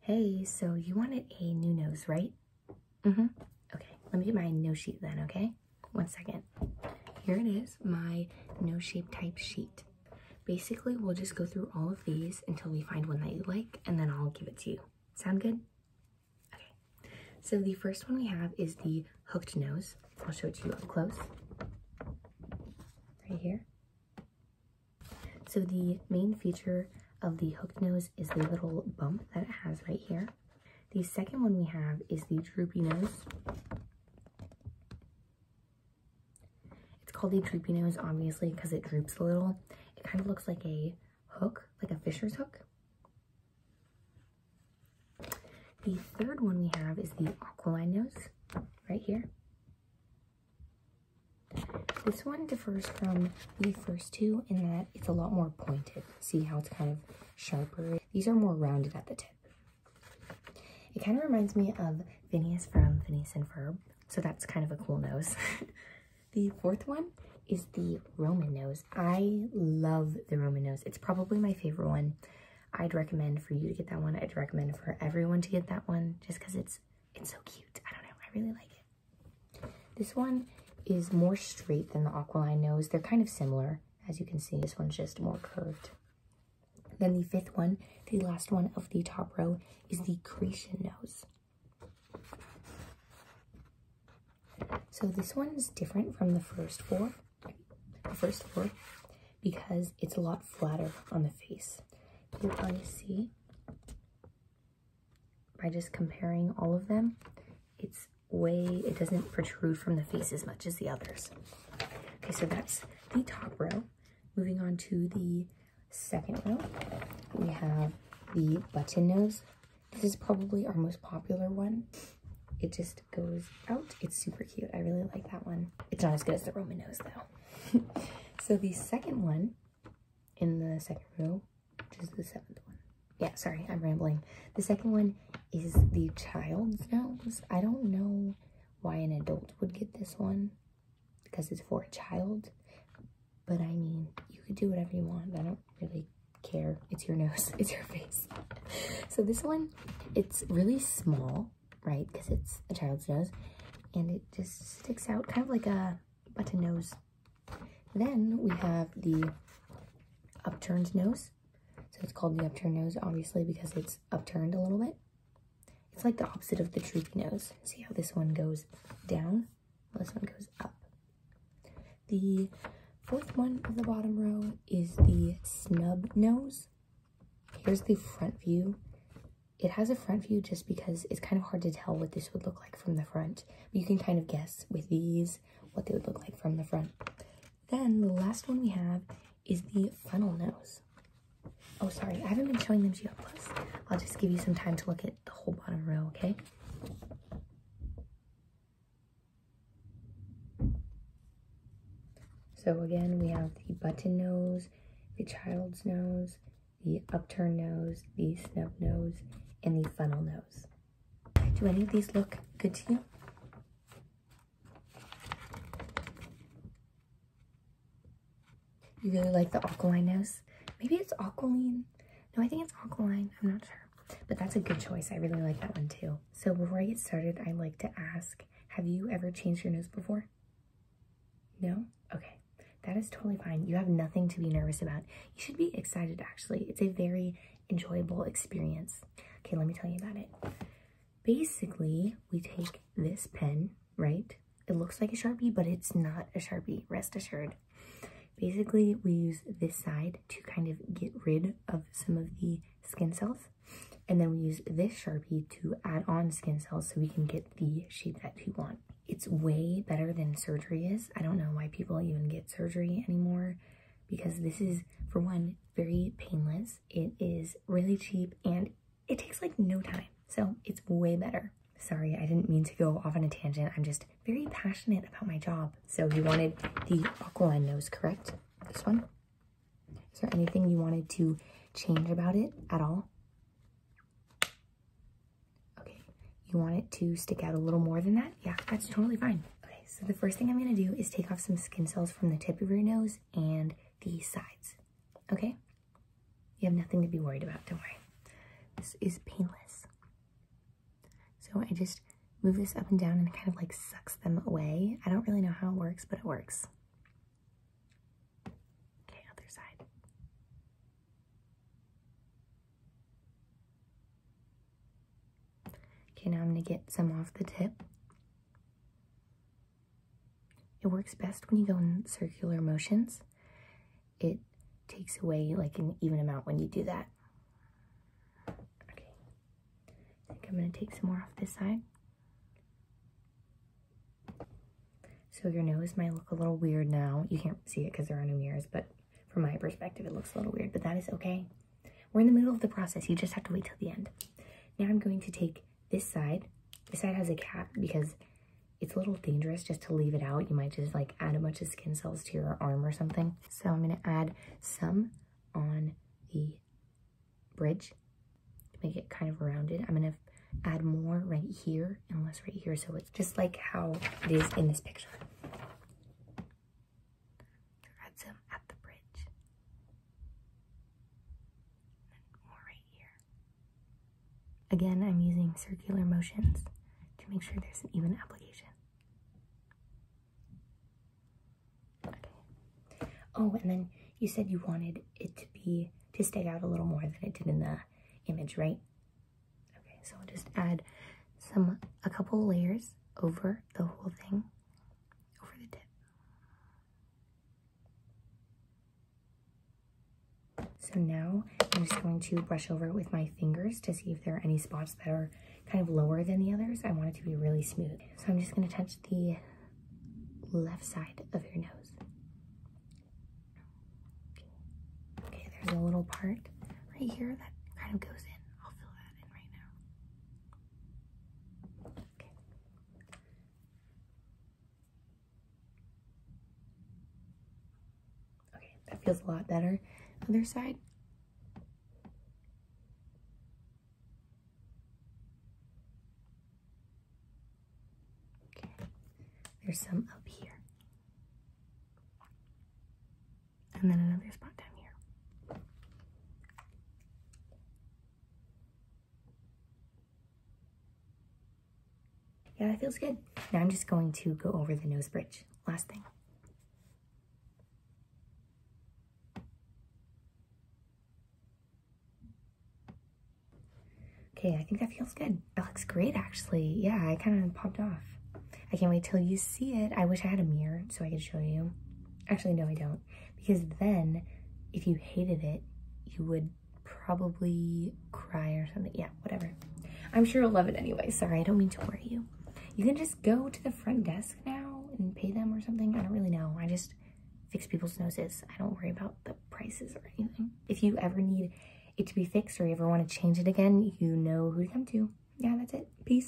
Hey, so you wanted a new nose, right? hmm Okay, let me get my nose sheet then, okay? One second. Here it is, my nose shape type sheet. Basically, we'll just go through all of these until we find one that you like, and then I'll give it to you. Sound good? Okay. So the first one we have is the hooked nose. I'll show it to you up close. Right here. So the main feature of the hooked nose is the little bump that it has right here. The second one we have is the droopy nose. It's called the droopy nose, obviously, because it droops a little. It kind of looks like a hook, like a fisher's hook. The third one we have is the aquiline nose, right here. This one differs from the first two in that it's a lot more pointed. See how it's kind of sharper? These are more rounded at the tip. It kind of reminds me of Phineas from Phineas and Ferb, so that's kind of a cool nose. the fourth one is the Roman nose. I love the Roman nose. It's probably my favorite one. I'd recommend for you to get that one. I'd recommend for everyone to get that one just because it's it's so cute. I don't know. I really like it. This one is more straight than the Aquiline nose. They're kind of similar. As you can see, this one's just more curved. Then the fifth one, the last one of the top row, is the Creation nose. So this one is different from the first four. First four because it's a lot flatter on the face. You'll see by just comparing all of them, it's way, it doesn't protrude from the face as much as the others. Okay, so that's the top row. Moving on to the second row, we have the button nose. This is probably our most popular one it just goes out. It's super cute. I really like that one. It's not as good as the Roman nose though. so the second one in the second row, which is the seventh one. Yeah, sorry, I'm rambling. The second one is the child's nose. I don't know why an adult would get this one because it's for a child. But I mean, you could do whatever you want. I don't really care it's your nose, it's your face. So this one, it's really small, right? Because it's a child's nose, and it just sticks out kind of like a button nose. Then we have the upturned nose. So it's called the upturned nose, obviously, because it's upturned a little bit. It's like the opposite of the droopy nose. See how this one goes down? this one goes up. The Fourth one of the bottom row is the snub nose. Here's the front view. It has a front view just because it's kind of hard to tell what this would look like from the front. But you can kind of guess with these what they would look like from the front. Then the last one we have is the funnel nose. Oh, sorry, I haven't been showing them to you plus. I'll just give you some time to look at the whole bottom row, okay? So again, we have the button nose, the child's nose, the upturned nose, the snub nose, and the funnel nose. Do any of these look good to you? You really like the aquiline nose? Maybe it's aquiline no, I think it's alkaline. I'm not sure. But that's a good choice. I really like that one too. So before I get started, I like to ask, have you ever changed your nose before? No? Okay. That is totally fine. You have nothing to be nervous about. You should be excited actually. It's a very enjoyable experience. Okay, let me tell you about it. Basically, we take this pen, right? It looks like a Sharpie, but it's not a Sharpie, rest assured. Basically, we use this side to kind of get rid of some of the skin cells. And then we use this Sharpie to add on skin cells so we can get the shape that we want. It's way better than surgery is. I don't know why people even get surgery anymore because this is, for one, very painless. It is really cheap and it takes like no time. So it's way better. Sorry, I didn't mean to go off on a tangent. I'm just very passionate about my job. So you wanted the aquiline nose, correct? This one? Is there anything you wanted to change about it at all? Okay, you want it to stick out a little more than that? Yeah, that's totally fine. Okay, so the first thing I'm gonna do is take off some skin cells from the tip of your nose and the sides, okay? You have nothing to be worried about, don't worry. This is painless. So I just move this up and down and it kind of like sucks them away. I don't really know how it works, but it works. Okay, other side. Okay, now I'm gonna get some off the tip. It works best when you go in circular motions it takes away like an even amount when you do that. Okay, I think I'm gonna take some more off this side. So your nose might look a little weird now. You can't see it because there are no mirrors, but from my perspective, it looks a little weird, but that is okay. We're in the middle of the process. You just have to wait till the end. Now I'm going to take this side, this side has a cap because it's a little dangerous just to leave it out. You might just like add a bunch of skin cells to your arm or something. So I'm gonna add some on the bridge to make it kind of rounded. I'm gonna add more right here and less right here. So it's just like how it is in this picture. Add some at the bridge. more right here. Again, I'm using circular motions to make sure there's an even application. Oh, and then you said you wanted it to be to stay out a little more than it did in the image, right? Okay, so I'll just add some a couple layers over the whole thing, over the tip. So now I'm just going to brush over it with my fingers to see if there are any spots that are kind of lower than the others. I want it to be really smooth. So I'm just going to touch the left side of your nose. Okay, there's a little part right here that kind of goes in. I'll fill that in right now. Okay. Okay, that feels a lot better. Other side. Okay, there's some up here. And then another spot down here. Yeah, that feels good. Now I'm just going to go over the nose bridge. Last thing. Okay, I think that feels good. That looks great, actually. Yeah, I kind of popped off. I can't wait till you see it. I wish I had a mirror so I could show you. Actually, no, I don't because then if you hated it, you would probably cry or something. Yeah, whatever. I'm sure i will love it anyway. Sorry, I don't mean to worry you. You can just go to the front desk now and pay them or something. I don't really know. I just fix people's noses. I don't worry about the prices or anything. If you ever need it to be fixed or you ever want to change it again, you know who to come to. Yeah, that's it. Peace.